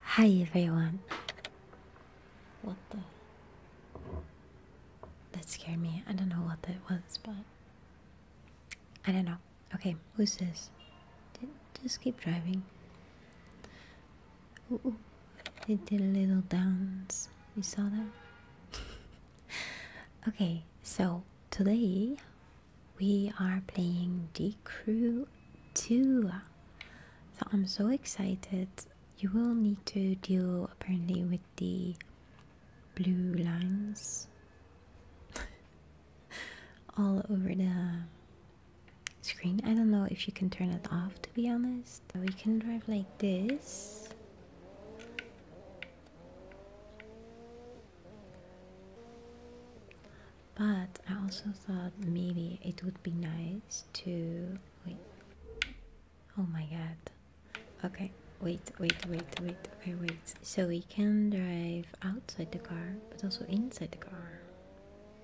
Hi everyone. What the? That scared me. I don't know what that was, but I don't know. Okay, who's this? just keep driving. Ooh, did a little dance. You saw that? okay, so today we are playing The Crew 2. So I'm so excited. You will need to deal apparently with the blue lines all over the screen. I don't know if you can turn it off to be honest. We can drive like this. But I also thought maybe it would be nice to wait. Oh my god. Okay, wait, wait, wait, wait, okay, wait. So we can drive outside the car, but also inside the car.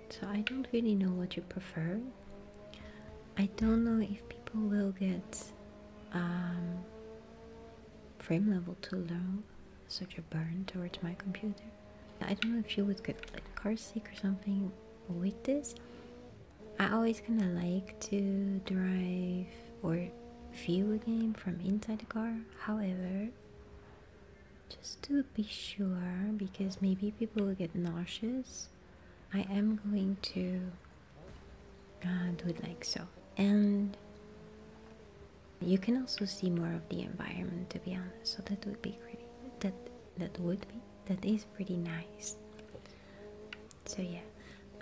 So I don't really know what you prefer. I don't know if people will get um, frame level to low, such a burn towards my computer. I don't know if you would get like car sick or something with this. I always kind of like to drive or view a game from inside the car. However, just to be sure, because maybe people will get nauseous, I am going to uh, do it like so. And you can also see more of the environment, to be honest. So that would be great. That that would be that is pretty nice so yeah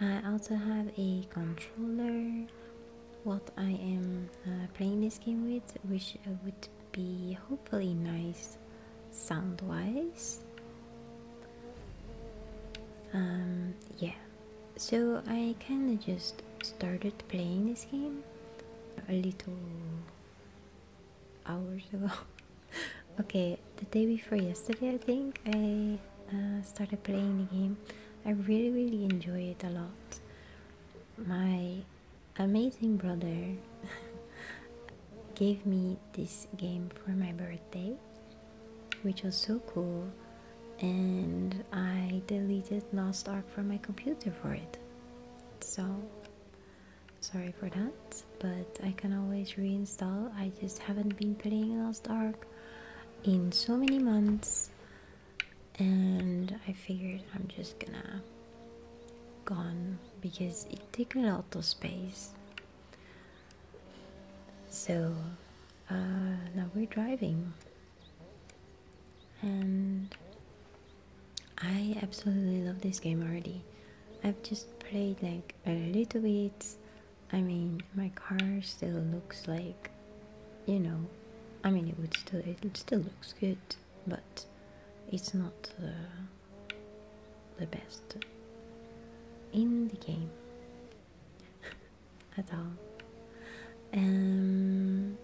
i also have a controller what i am uh, playing this game with which uh, would be hopefully nice sound wise um, yeah so i kind of just started playing this game a little hours ago. okay, the day before yesterday, I think I uh, started playing the game. I really, really enjoy it a lot. My amazing brother gave me this game for my birthday, which was so cool. And I deleted Lost Ark from my computer for it. So sorry for that but I can always reinstall I just haven't been playing Lost Ark in so many months and I figured I'm just gonna gone because it takes a lot of space so uh, now we're driving and I absolutely love this game already. I've just played like a little bit. I mean, my car still looks like, you know, I mean, it would still it still looks good, but it's not uh, the best in the game at all. Um,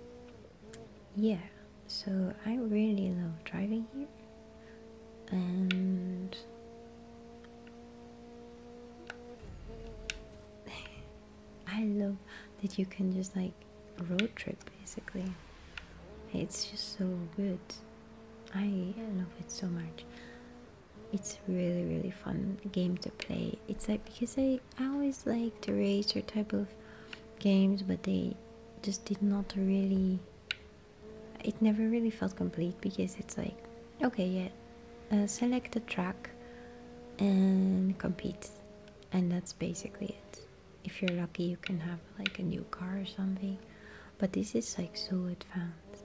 yeah, so I really love driving here and I love that you can just like road trip basically. It's just so good. I love it so much. It's really really fun game to play. It's like because I, I always like the racer type of games but they just did not really it never really felt complete because it's like okay yeah uh, select a track and compete and that's basically it if you're lucky you can have like a new car or something but this is like so advanced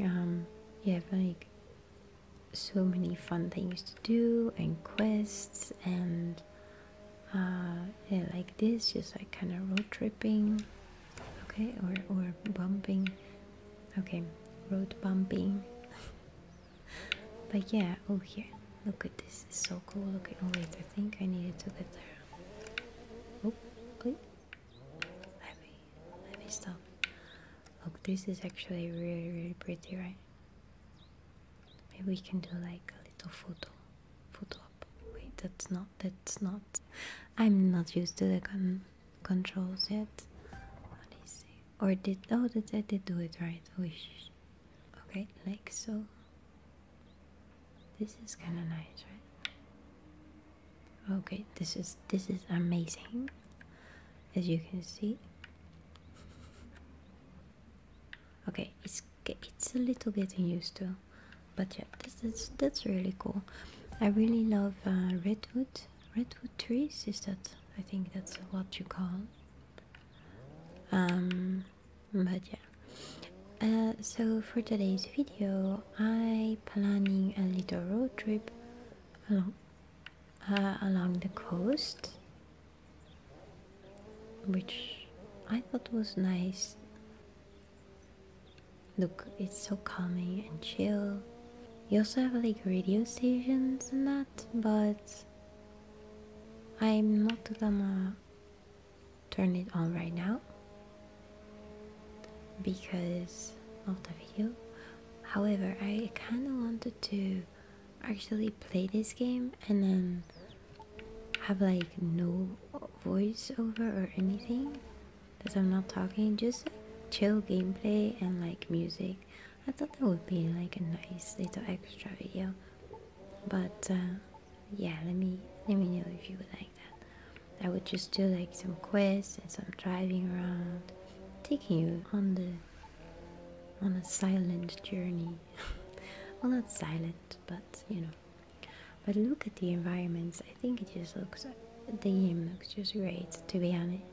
um you have like so many fun things to do and quests and uh, like this, just like kind of road tripping, okay, or or bumping, okay, road bumping. but yeah, oh here, look at this, it's so cool. Okay, oh wait, I think I need to get there. Oh, wait. let me let me stop. Look, this is actually really really pretty, right? Maybe we can do like a little photo, photo Wait, that's not, that's not. I'm not used to the con controls yet. What is it? Or did, oh, did, I did do it right. Oh, okay, like so. This is kind of nice, right? Okay, this is, this is amazing. As you can see. Okay, it's it's it's a little getting used to but yeah that's that's, really cool i really love uh, redwood redwood trees is that i think that's what you call um but yeah uh, so for today's video i planning a little road trip along uh, along the coast which I thought was nice. Look, it's so calming and chill. You also have like radio stations and that, but I'm not gonna turn it on right now because of the video. However, I kinda wanted to actually play this game and then have like no voiceover or anything because I'm not talking, just chill gameplay and like music. I thought that would be like a nice little extra video, but uh, yeah, let me let me know if you would like that. I would just do like some quests and some driving around, taking you on the on a silent journey. well, not silent, but you know. But look at the environments, I think it just looks, the gym looks just great to be honest.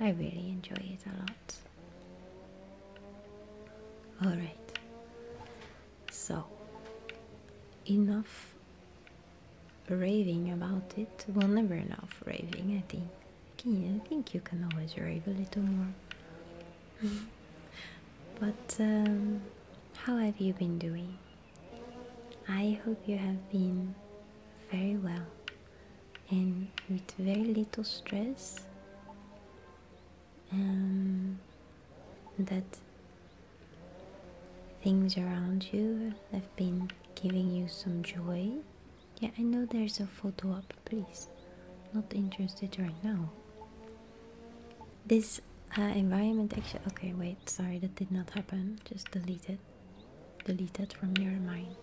I really enjoy it a lot. Alright, so enough raving about it. Well, never enough raving, I think. I think you can always rave a little more. but um, how have you been doing? I hope you have been very well and with very little stress, and um, that things around you have been giving you some joy. Yeah, I know there's a photo up, please. Not interested right now. This uh, environment actually. Okay, wait, sorry, that did not happen. Just delete it. Delete it from your mind.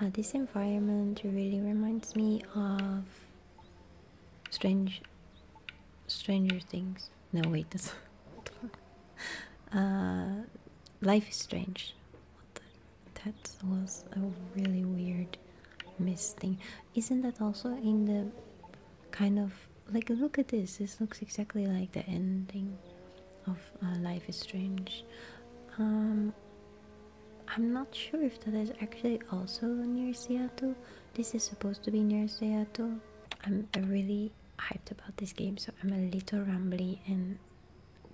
Uh, this environment really reminds me of strange, stranger things. No, wait, This. uh, life is strange. that was a really weird misting. Isn't that also in the kind of like look at this? This looks exactly like the ending of uh, Life is Strange. Um, I'm not sure if that is actually also near Seattle. This is supposed to be near Seattle. I'm really hyped about this game, so I'm a little rambly and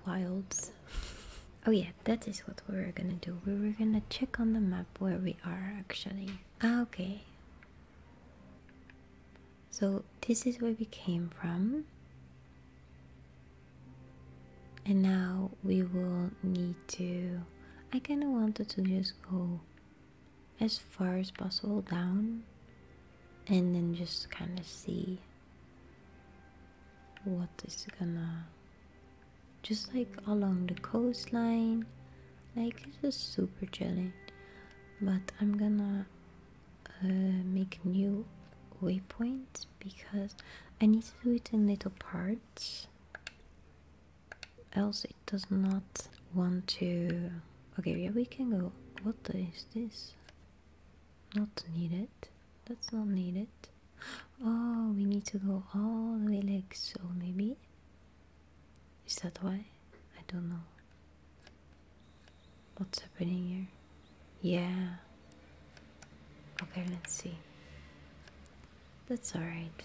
wild. oh yeah, that is what we are gonna do. We are gonna check on the map where we are actually. Ah, okay. So this is where we came from. And now we will need to. I kind of wanted to just go as far as possible down and then just kind of see what is gonna just like along the coastline like it's just super challenge but i'm gonna uh, make new waypoints because i need to do it in little parts else it does not want to okay yeah we can go what is this not needed that's not needed oh we need to go all the way like so maybe is that why? I don't know. What's happening here? Yeah. Okay, let's see. That's alright.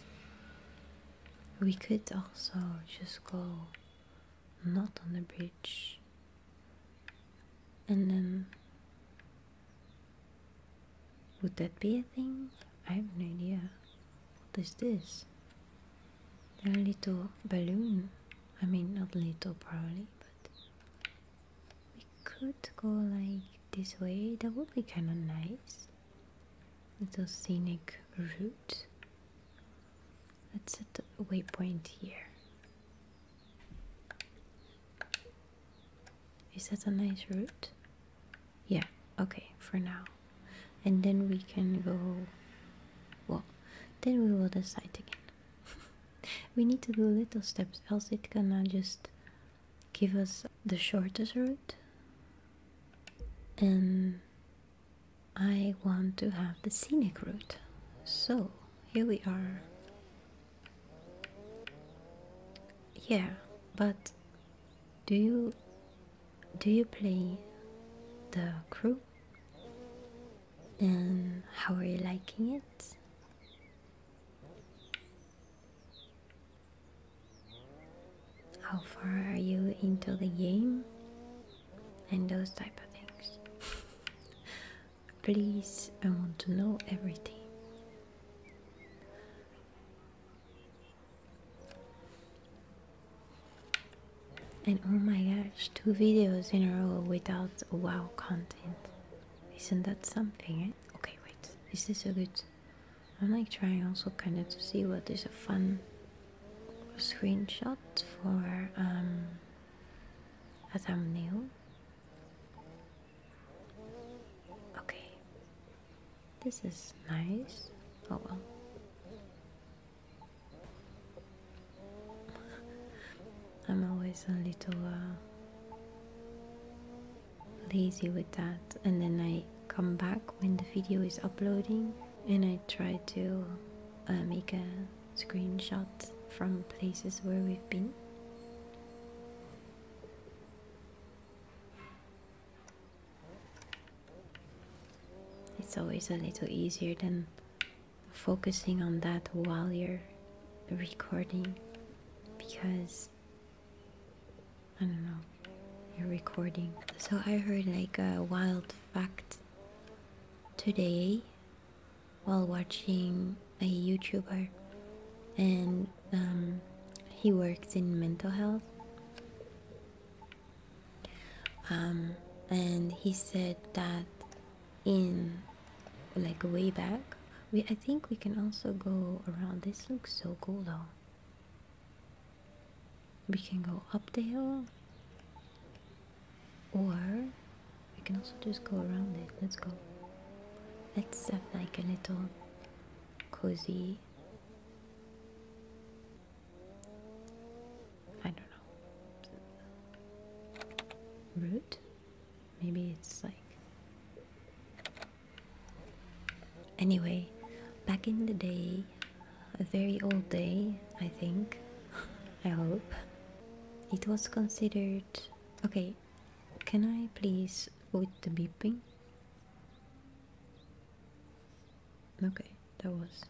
We could also just go not on the bridge and then would that be a thing? I have no idea. What is this? A little balloon. I mean, not little probably, but we could go like this way. That would be kind of nice. Little scenic route. Let's set the waypoint here. Is that a nice route? Yeah, okay, for now. And then we can go. Well, then we will decide again. we need to do little steps, else it going just give us the shortest route. And I want to have the scenic route. So here we are. Yeah, but do you do you play the crew? And how are you liking it? How far are you into the game? And those type of things. Please, I want to know everything. And oh my gosh, two videos in a row without wow content. Isn't that something? Eh? Okay, wait. Is this a good. I'm like trying also kind of to see what is a fun screenshot for um, a thumbnail. Okay. This is nice. Oh well. I'm always a little uh, lazy with that, and then I come back when the video is uploading and I try to uh, make a screenshot from places where we've been. It's always a little easier than focusing on that while you're recording because I don't know, you're recording. So I heard like a wild fact today while watching a YouTuber and um, he works in mental health um, and he said that in like way back we I think we can also go around this looks so cool though we can go up the hill or we can also just go around it let's go let's have like a little cozy maybe? I don't know. Root? Maybe it's like. Anyway, back in the day, a very old day, I think, I hope, it was considered. Okay, can I please with the beeping? Okay, that was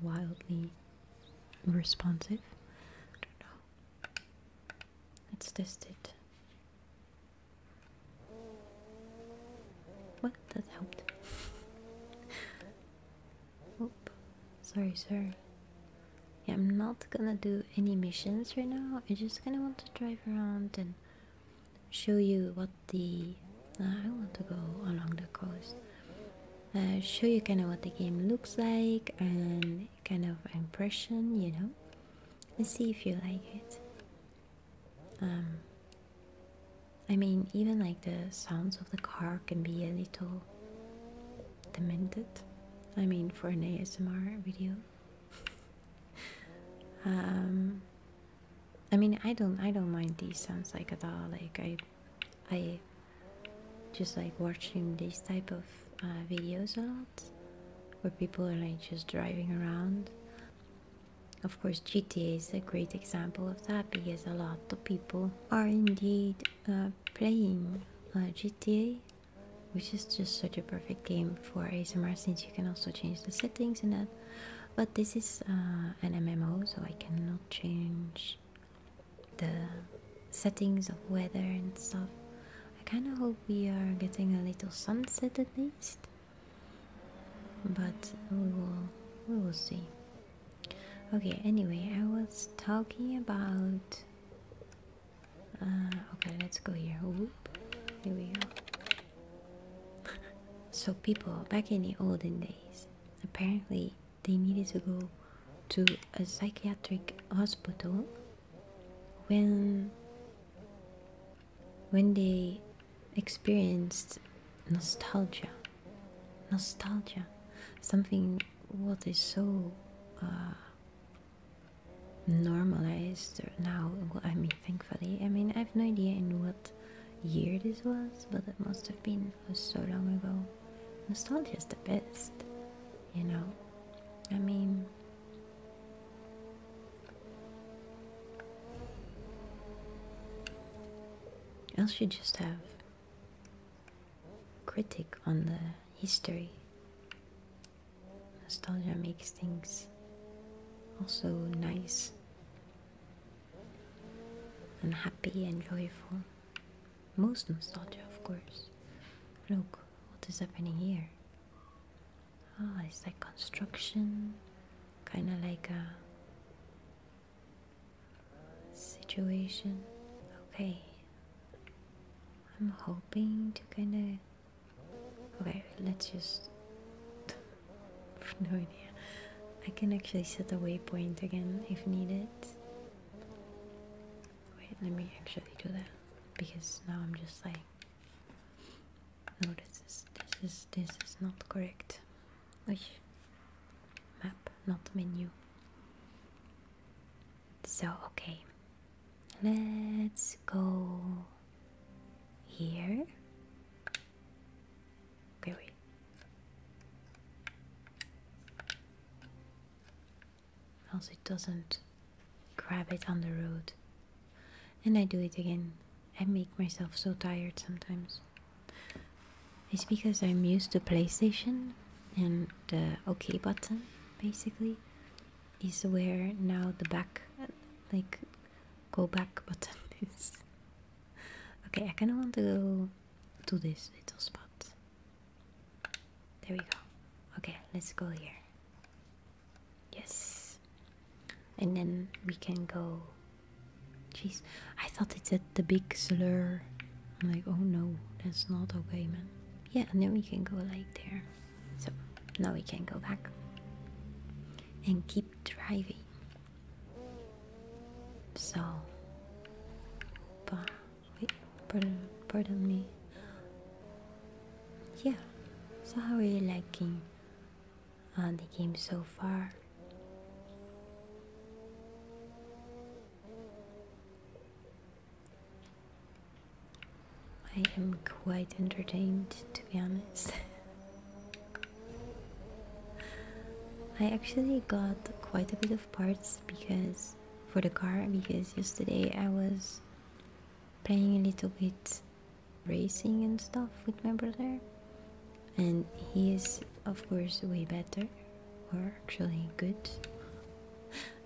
wildly responsive. Let's test it. Well, that helped. Oop. Sorry, sorry. I'm not gonna do any missions right now. I just kinda want to drive around and show you what the I want to go along the coast. Uh, show you kind of what the game looks like and kind of impression, you know, and see if you like it. Um, I mean, even like the sounds of the car can be a little demented. I mean, for an ASMR video. Um, I mean, I don't, I don't mind these sounds like at all. Like I, I just like watching these type of uh, videos a lot, where people are like just driving around. Of course, GTA is a great example of that because a lot of people are indeed uh, playing uh, GTA, which is just such a perfect game for ASMR since you can also change the settings and that. But this is uh, an MMO, so I cannot change the settings of weather and stuff. I kind of hope we are getting a little sunset at least, but we will we will see. Okay. Anyway, I was talking about. Uh, okay, let's go here. Whoop. we go so people back in the olden days apparently they needed to go to a psychiatric hospital when when they experienced nostalgia nostalgia something what is so uh, normalized now i mean thankfully i mean i have no idea in what year this was, but it must have been oh, so long ago. Nostalgia is the best, you know. I mean, else should just have critic on the history. Nostalgia makes things also nice and happy and joyful. Most nostalgia, of course. Look, what is happening here? Ah, it's like construction, kind of like a situation. Okay, I'm hoping to kind of. Okay, let's just no idea. I can actually set a waypoint again if needed. Wait, let me actually do that because now I'm just like, no, this is this is this is not correct. Oy. Map, not menu. So okay, let's go here. Okay, Else it doesn't grab it on the road. And I do it again. I make myself so tired sometimes. It's because I'm used to PlayStation and the OK button, basically, is where now the back, like, go back button is. Okay, I kinda want to go to this little spot. There we go. Okay, let's go here. Yes. And then we can go. Jeez, I thought it said the big slur. I'm like, oh no, that's not okay, man. Yeah, and then we can go like there. So now we can go back and keep driving. So, pardon, me. Yeah. So how are you liking uh, the game so far? I am quite entertained, to be honest. I actually got quite a bit of parts because for the car because yesterday I was playing a little bit racing and stuff with my brother and he is of course way better or actually good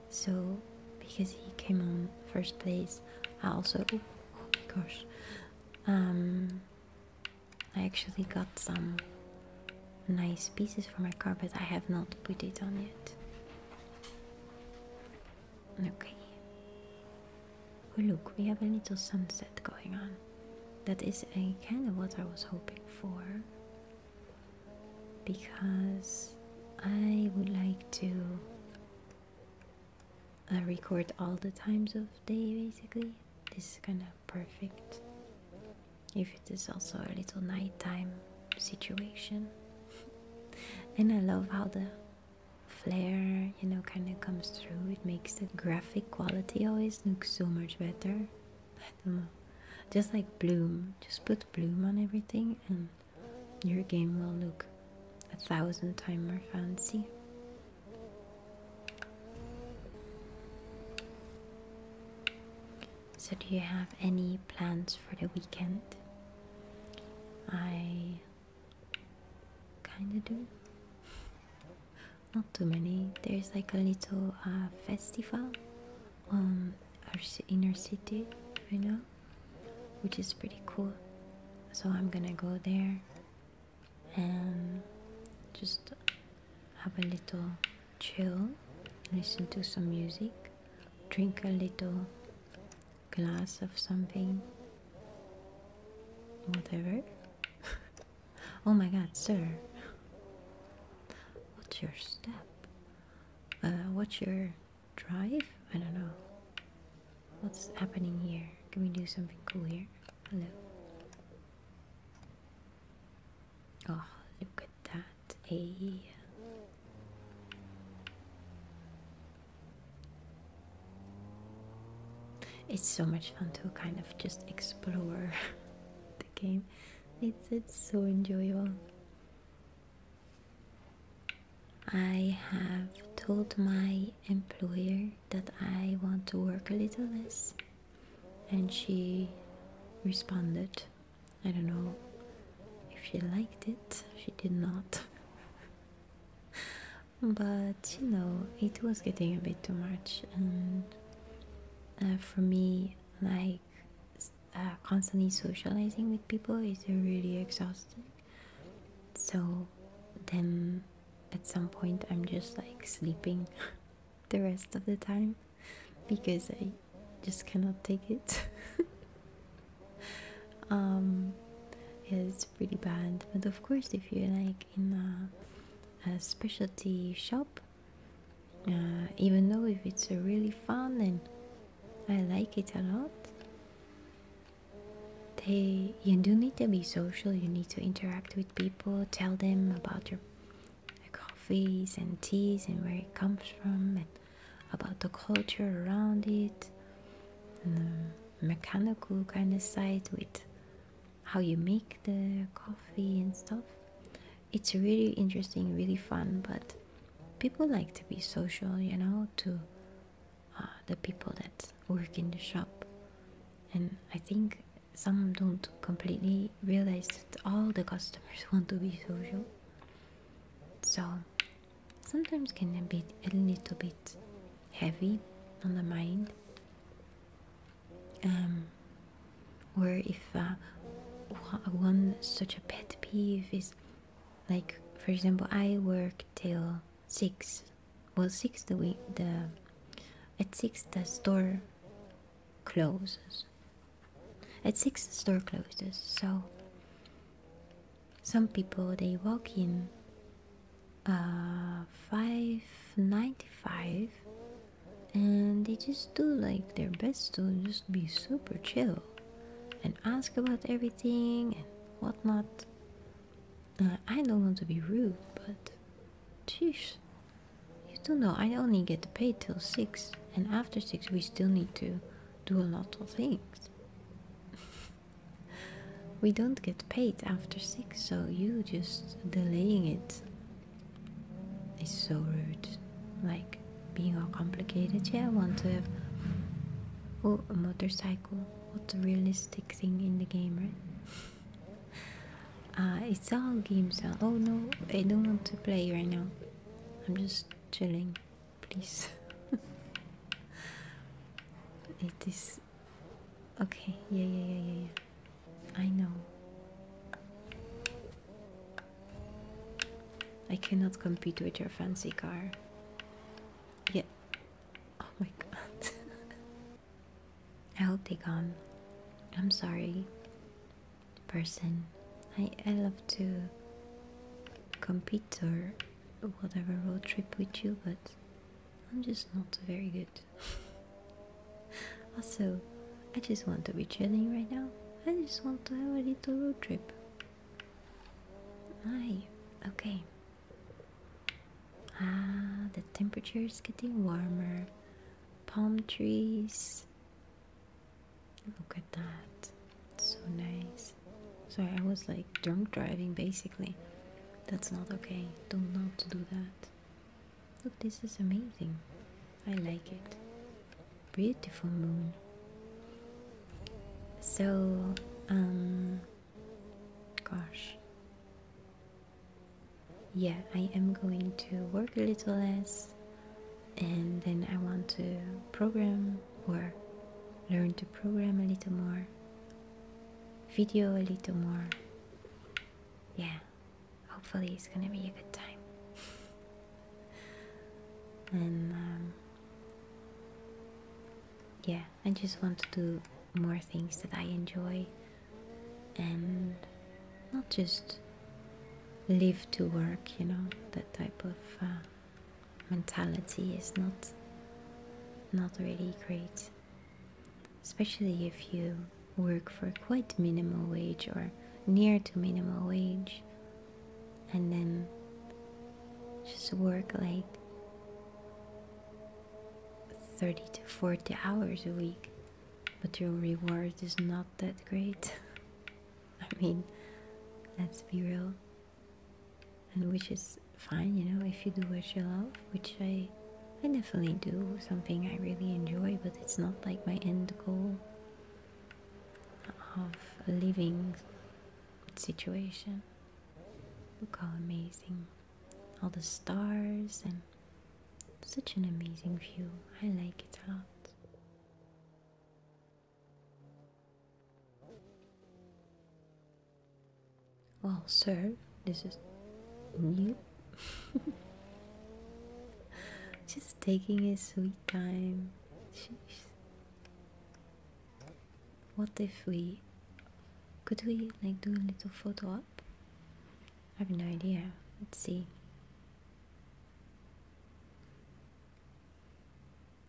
so because he came on first place I also oh, my gosh um, I actually got some nice pieces for my carpet. I have not put it on yet. Okay. Oh, look, we have a little sunset going on. That is a kind of what I was hoping for because I would like to uh, record all the times of day basically this is kind of perfect if it is also a little nighttime situation and I love how the flare you know kind of comes through it makes the graphic quality always look so much better just like bloom just put bloom on everything and your game will look a thousand times more fancy so, do you have any plans for the weekend? I kinda do. Not too many. There's like a little uh, festival in our city, you know, which is pretty cool. So, I'm gonna go there and just have a little chill, listen to some music, drink a little glass of something, whatever. oh my god, sir, what's your step? Uh, what's your drive? I don't know. What's happening here? Can we do something cool here? Hello. Oh, look at that. Hey. It's so much fun to kind of just explore the game. It's it's so enjoyable. I have told my employer that I want to work a little less and she responded. I don't know if she liked it, she did not. but you know, it was getting a bit too much, and uh, for me, like uh, constantly socializing with people is really exhausting. So then at some point, I'm just like sleeping. the rest of the time because I just cannot take it. Um, it's pretty bad, but of course, if you're like in a, specialty shop, uh, even though if it's a really fun and I like it a lot, they you do need to be social. You need to interact with people, tell them about your coffees and teas and where it comes from, and about the culture around it, and the mechanical kind of side with how you make the coffee and stuff. It's really interesting, really fun, but people like to be social, you know, to uh, the people that work in the shop. And I think some don't completely realize that all the customers want to be social so sometimes can be a little bit heavy on the mind um, or if uh, one such a pet peeve is like for example I work till 6 well 6 the week the at 6 the store closes. At 6 the store closes, so some people they walk in uh, 595 and they just do like their best to just be super chill and ask about everything and whatnot. Uh, I don't want to be rude, but jeez, you do know I only get paid till 6, and after 6 we still need to do a lot of things. we don't get paid after 6, so you just delaying it is so rude. Like being all complicated, yeah, I want to have. Oh, a motorcycle. What a realistic thing in the game, right? Uh, it's all games. Uh, oh no, I don't want to play right now. I'm just chilling, please. it is okay. Yeah, yeah, yeah, yeah, yeah. I know. I cannot compete with your fancy car. Yeah. Oh my god. I hope they come. I'm sorry, person. I, I love to compete or whatever road trip with you, but I'm just not very good. also, I just want to be chilling right now. I just want to have a little road trip. Aye, okay. Ah, the temperature is getting warmer palm trees. Look at that. so nice. Sorry, I was like drunk driving basically. That's not okay. Do not do that. Look, this is amazing. I like it. Beautiful moon. So, um, gosh, yeah, I am going to work a little less and then I want to program or learn to program a little more, video a little more. Yeah, hopefully it's gonna be a good time. and um, yeah, I just want to do more things that I enjoy and not just live to work, you know, that type of uh, mentality is not not really great, especially if you work for quite minimal wage or near to minimal wage and then just work like 30 to 40 hours a week but your reward is not that great. I mean, let's be real. And which is fine, you know, if you do what you love, which I, I definitely do, something I really enjoy, but it's not like my end goal of living situation. Look how amazing. All the stars and such an amazing view, I like it a lot. Well, sir, this is new. Just taking his sweet time. Jeez. What if we could we like do a little photo up? I have no idea. Let's see.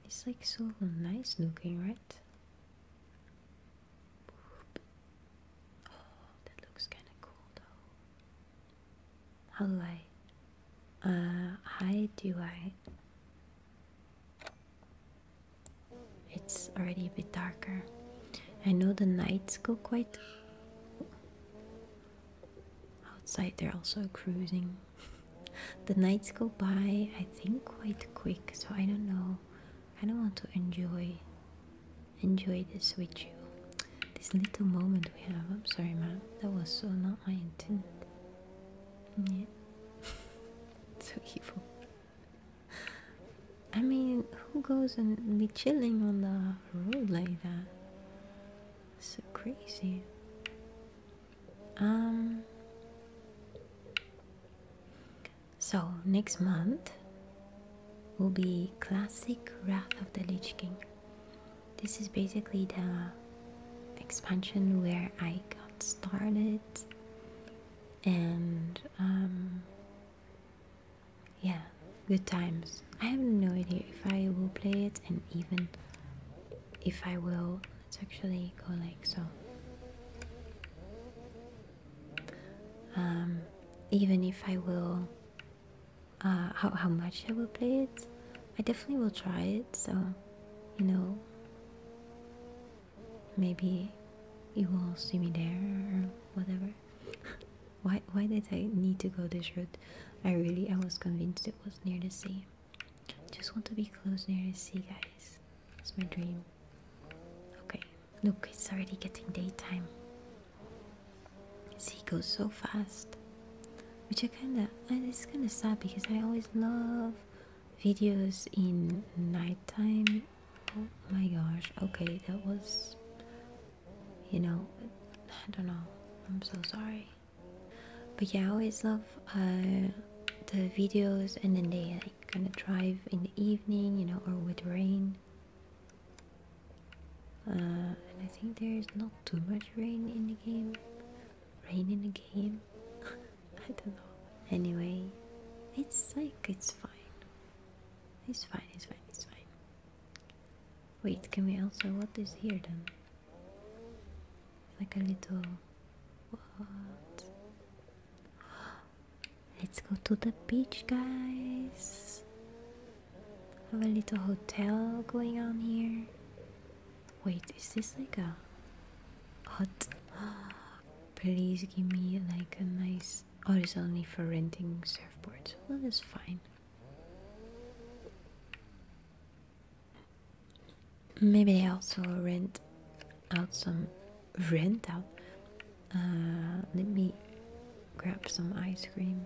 It's like so nice looking, right? Oh, that uh, how do I? It's already a bit darker. I know the nights go quite Outside, they're also cruising. the nights go by, I think, quite quick, so I don't know. I don't want to enjoy enjoy this with you. This little moment we have. I'm sorry, man. That was so not my intent. Yeah. so evil. I mean, who goes and be chilling on the off road like that. So crazy. Um. So next month will be classic Wrath of the Lich King. This is basically the expansion where I got started, and um, yeah, good times. I have no idea if I will play it and even if I will. Let's actually go like so. Um, even if I will, uh, how, how much I will play it, I definitely will try it. So, you know, maybe you will see me there or whatever. Why why did I need to go this route? I really I was convinced it was near the sea. Just want to be close near the sea guys. It's my dream. Okay. Look, it's already getting daytime. Sea goes so fast. Which I kinda and it's kinda sad because I always love videos in nighttime. Oh my gosh. Okay, that was you know, I don't know. I'm so sorry. But yeah, I always love uh, the videos and then they kind of drive in the evening, you know, or with rain. Uh, and I think there's not too much rain in the game. Rain in the game? I don't know. Anyway, it's like, it's fine. It's fine, it's fine, it's fine. Wait, can we also... what is here then? Like a little... what? Let's go to the beach, guys! Have a little hotel going on here. Wait, is this like a hut? Please give me like a nice... Oh, it's only for renting surfboards. Well, that is fine. Maybe they also rent out some rent out. Uh, let me grab some ice cream.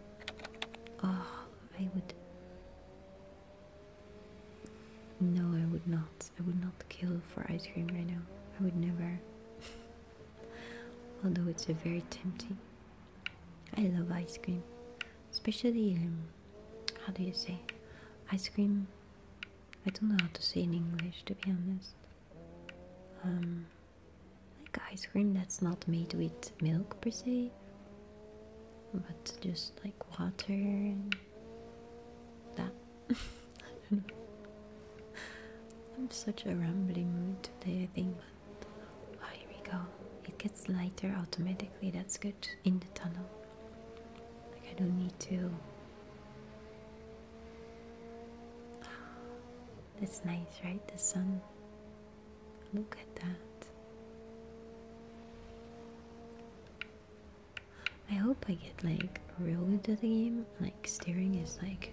Oh, I would. No, I would not. I would not kill for ice cream right now. I would never. Although it's very tempting I love ice cream, especially um, how do you say ice cream? I don't know how to say in English, to be honest. Um, like ice cream that's not made with milk per se, but just like water that. I'm such a rambling mood today, I think. Oh, here we go. It gets lighter automatically. That's good in the tunnel. Like, I don't need to. That's nice, right? The sun. Look at that. I hope I get like real good at the game. Like steering is like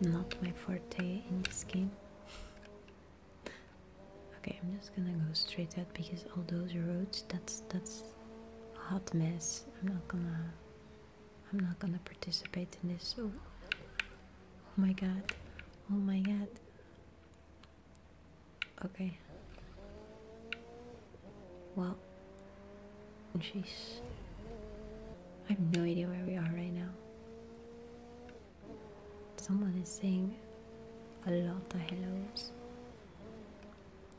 not my forte in this game okay, I'm just gonna go straight out because all those roads, that's that's a hot mess. I'm not gonna I'm not gonna participate in this. Oh, oh my god. Oh my god. Okay. Well, jeez. I have no idea where we are right now. Someone is saying a lot of hellos.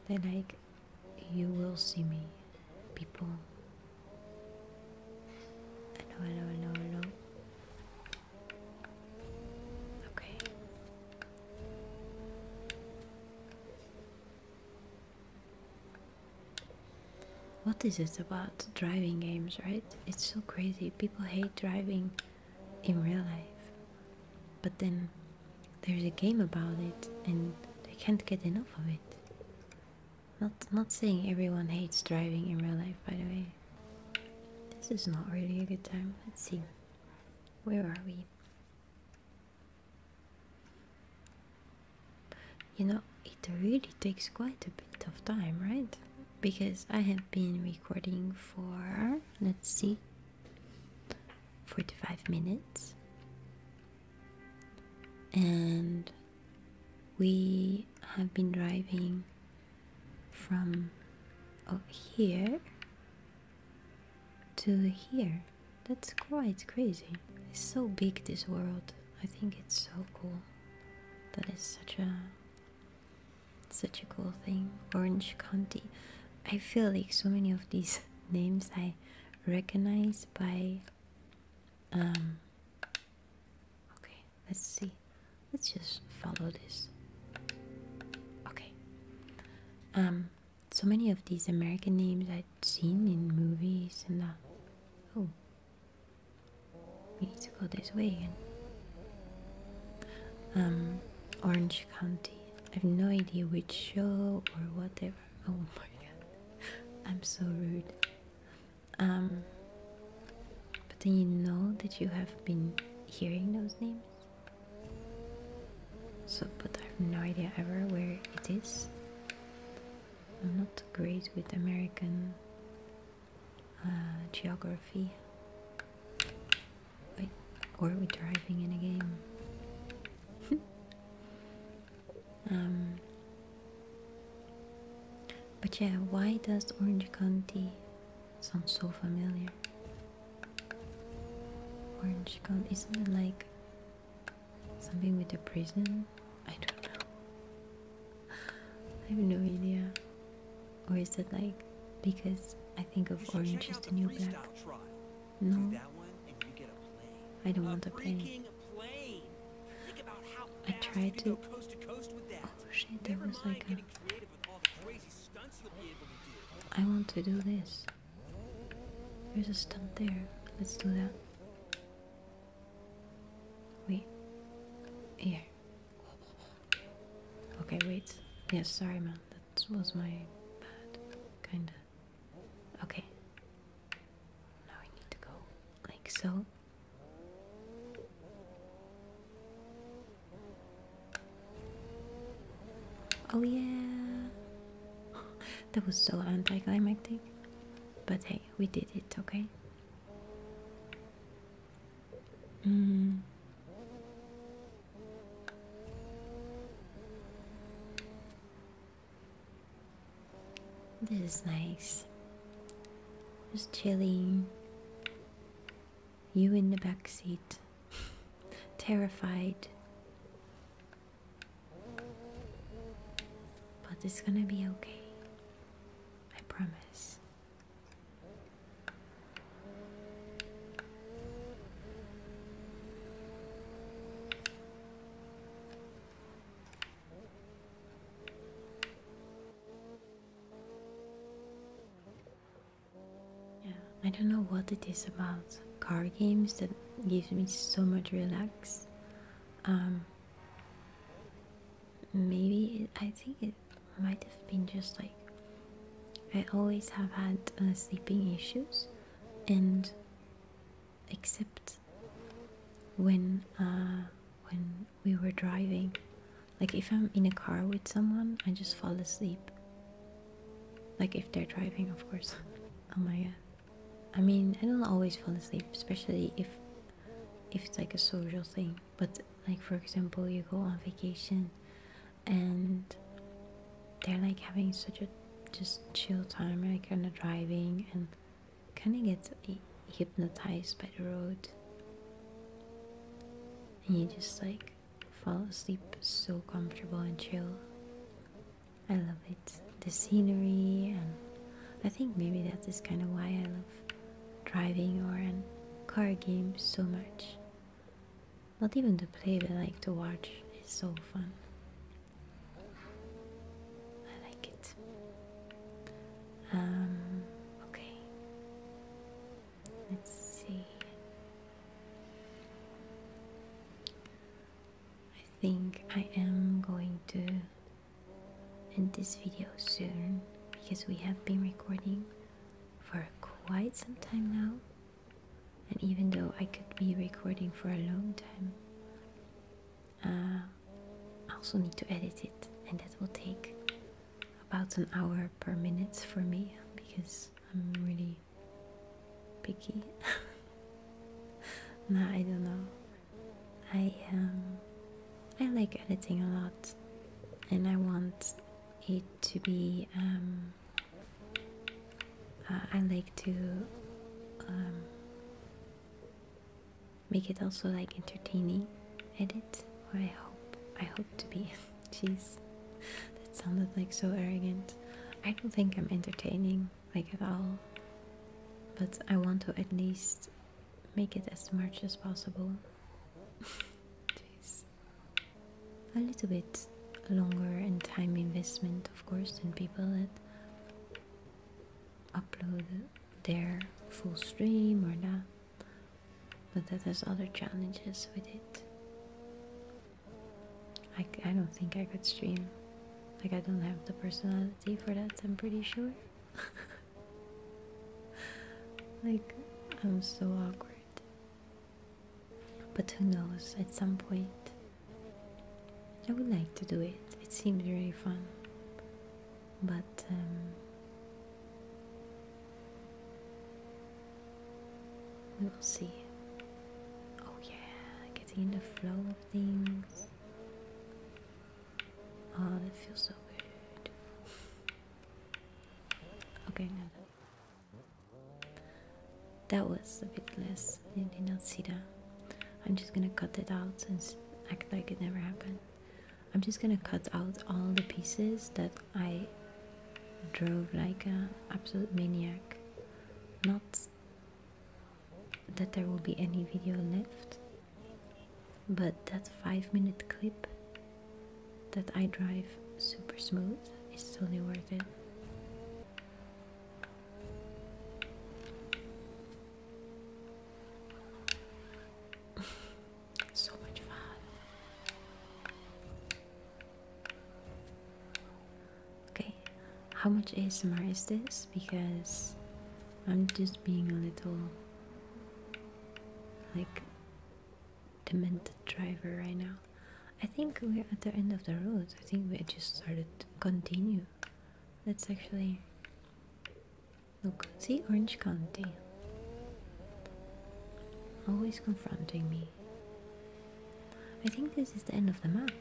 They're like, you will see me, people. Hello, hello, hello, hello. Okay. What is it about driving games, right? It's so crazy. People hate driving in real life, but then there's a game about it and they can't get enough of it. Not, not saying everyone hates driving in real life, by the way. This is not really a good time. Let's see. Where are we? You know, it really takes quite a bit of time, right? Because I have been recording for, let's see, 45 minutes. And we have been driving from here to here. That's quite crazy. It's so big, this world. I think it's so cool. That is such a such a cool thing. Orange County. I feel like so many of these names I recognize by um, okay, let's see. Let's just follow this. Okay. Um so many of these American names i have seen in movies and uh, Oh, we need to go this way again. Um, Orange County. I have no idea which show or whatever. Oh my god, I'm so rude. Um, but then you know that you have been hearing those names. So, but I have no idea ever where it is. I'm not great with American uh, geography. Wait, or are we driving in a game? Um, but yeah, why does Orange County sound so familiar? Orange County, isn't it like something with a prison? I don't know. I have no idea. Or is it like because I think of Orange is the New Black? No. I don't want a plane. I tried to. Coast oh shit, that was like a. I want to do this. There's a stunt there. Let's do that. Wait. Here. Okay, wait. Yes, sorry, man. That was my bad. Kinda. Okay. Now I need to go like so. Oh, yeah. that was so anticlimactic. But hey, we did it, okay? Mm. This is nice. Just chilling. You in the back seat. Terrified. But it's gonna be okay. I promise. Yeah, I don't know what it is about car games that gives me so much relax. Um, maybe I think it might have been just like I always have had uh, sleeping issues, and except when uh, when we were driving, like if I'm in a car with someone, I just fall asleep. Like if they're driving, of course. oh I mean, I don't always fall asleep, especially if if it's like a social thing but like for example you go on vacation and they're like having such a just chill time like kind of driving and kind of get hypnotized by the road and you just like fall asleep so comfortable and chill i love it the scenery and i think maybe that is kind of why i love driving or in car games so much. Not even to play, but like to watch. It's so fun. I like it. Um, okay. Let's see. I think I am going to in this video soon because we have been recording for quite some time now. And even though I could be recording for a long time, uh, I also need to edit it, and that will take about an hour per minute for me because I'm really picky. nah, I don't know. I um, I like editing a lot and I want it to be. Um, uh, I like to um, make it also like entertaining edit, or I hope I hope to be. Jeez, that sounded like so arrogant. I don't think I'm entertaining like at all, but I want to at least make it as much as possible Jeez. A little bit longer and time investment, of course, than people that upload their full stream or not. But that has other challenges with it. I, I don't think I could stream. Like, I don't have the personality for that, I'm pretty sure. like, I'm so awkward. But who knows, at some point, I would like to do it. It seems really fun. But, um, we will see. Oh, yeah, getting in the flow of things. Oh, that feels so good. Okay, no. That was a bit less. I did not see that. I'm just gonna cut it out and act like it never happened. I'm just gonna cut out all the pieces that I drove like an absolute maniac. Not that there will be any video left but that 5 minute clip that I drive super smooth is totally worth it. so much fun. Okay, how much ASMR is this? Because I'm just being a little like demented driver right now. I think we're at the end of the road. I think we just started to continue. Let's actually look. See Orange County. Always confronting me. I think this is the end of the map.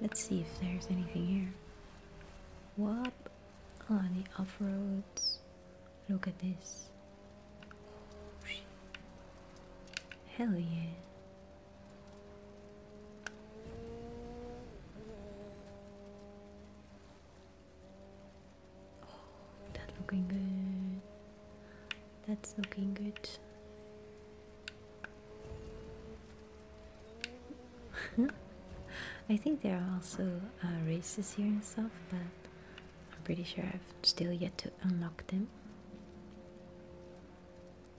Let's see if there's anything here. What? Oh, the off roads. Look at this. Oh, Hell yeah. Oh, that's looking good. That's looking good. I think there are also uh, races here and stuff, but I'm pretty sure I've still yet to unlock them.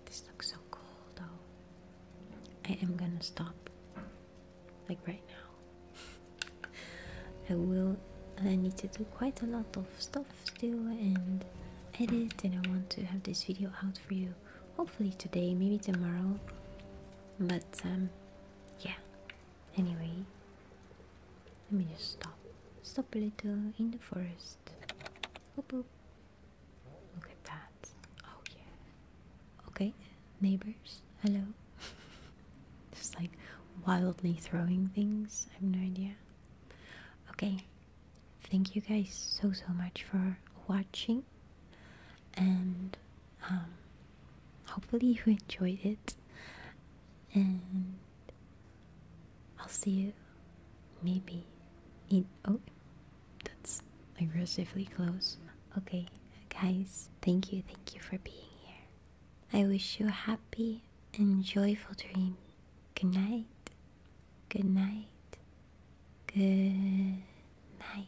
This looks so cool though. I am gonna stop. Like right now. I will I need to do quite a lot of stuff still and edit and I want to have this video out for you hopefully today, maybe tomorrow. But um yeah, Anyway, let me just stop. Stop a little in the forest. Oop, Look at that. Oh yeah. Okay, neighbors, hello. just like wildly throwing things. I have no idea. Okay, thank you guys so so much for watching and um, hopefully, you enjoyed it, and I'll see you maybe in oh, that's aggressively close. Okay, guys, thank you, thank you for being here. I wish you a happy and joyful dream. Good night. Good night. Good night.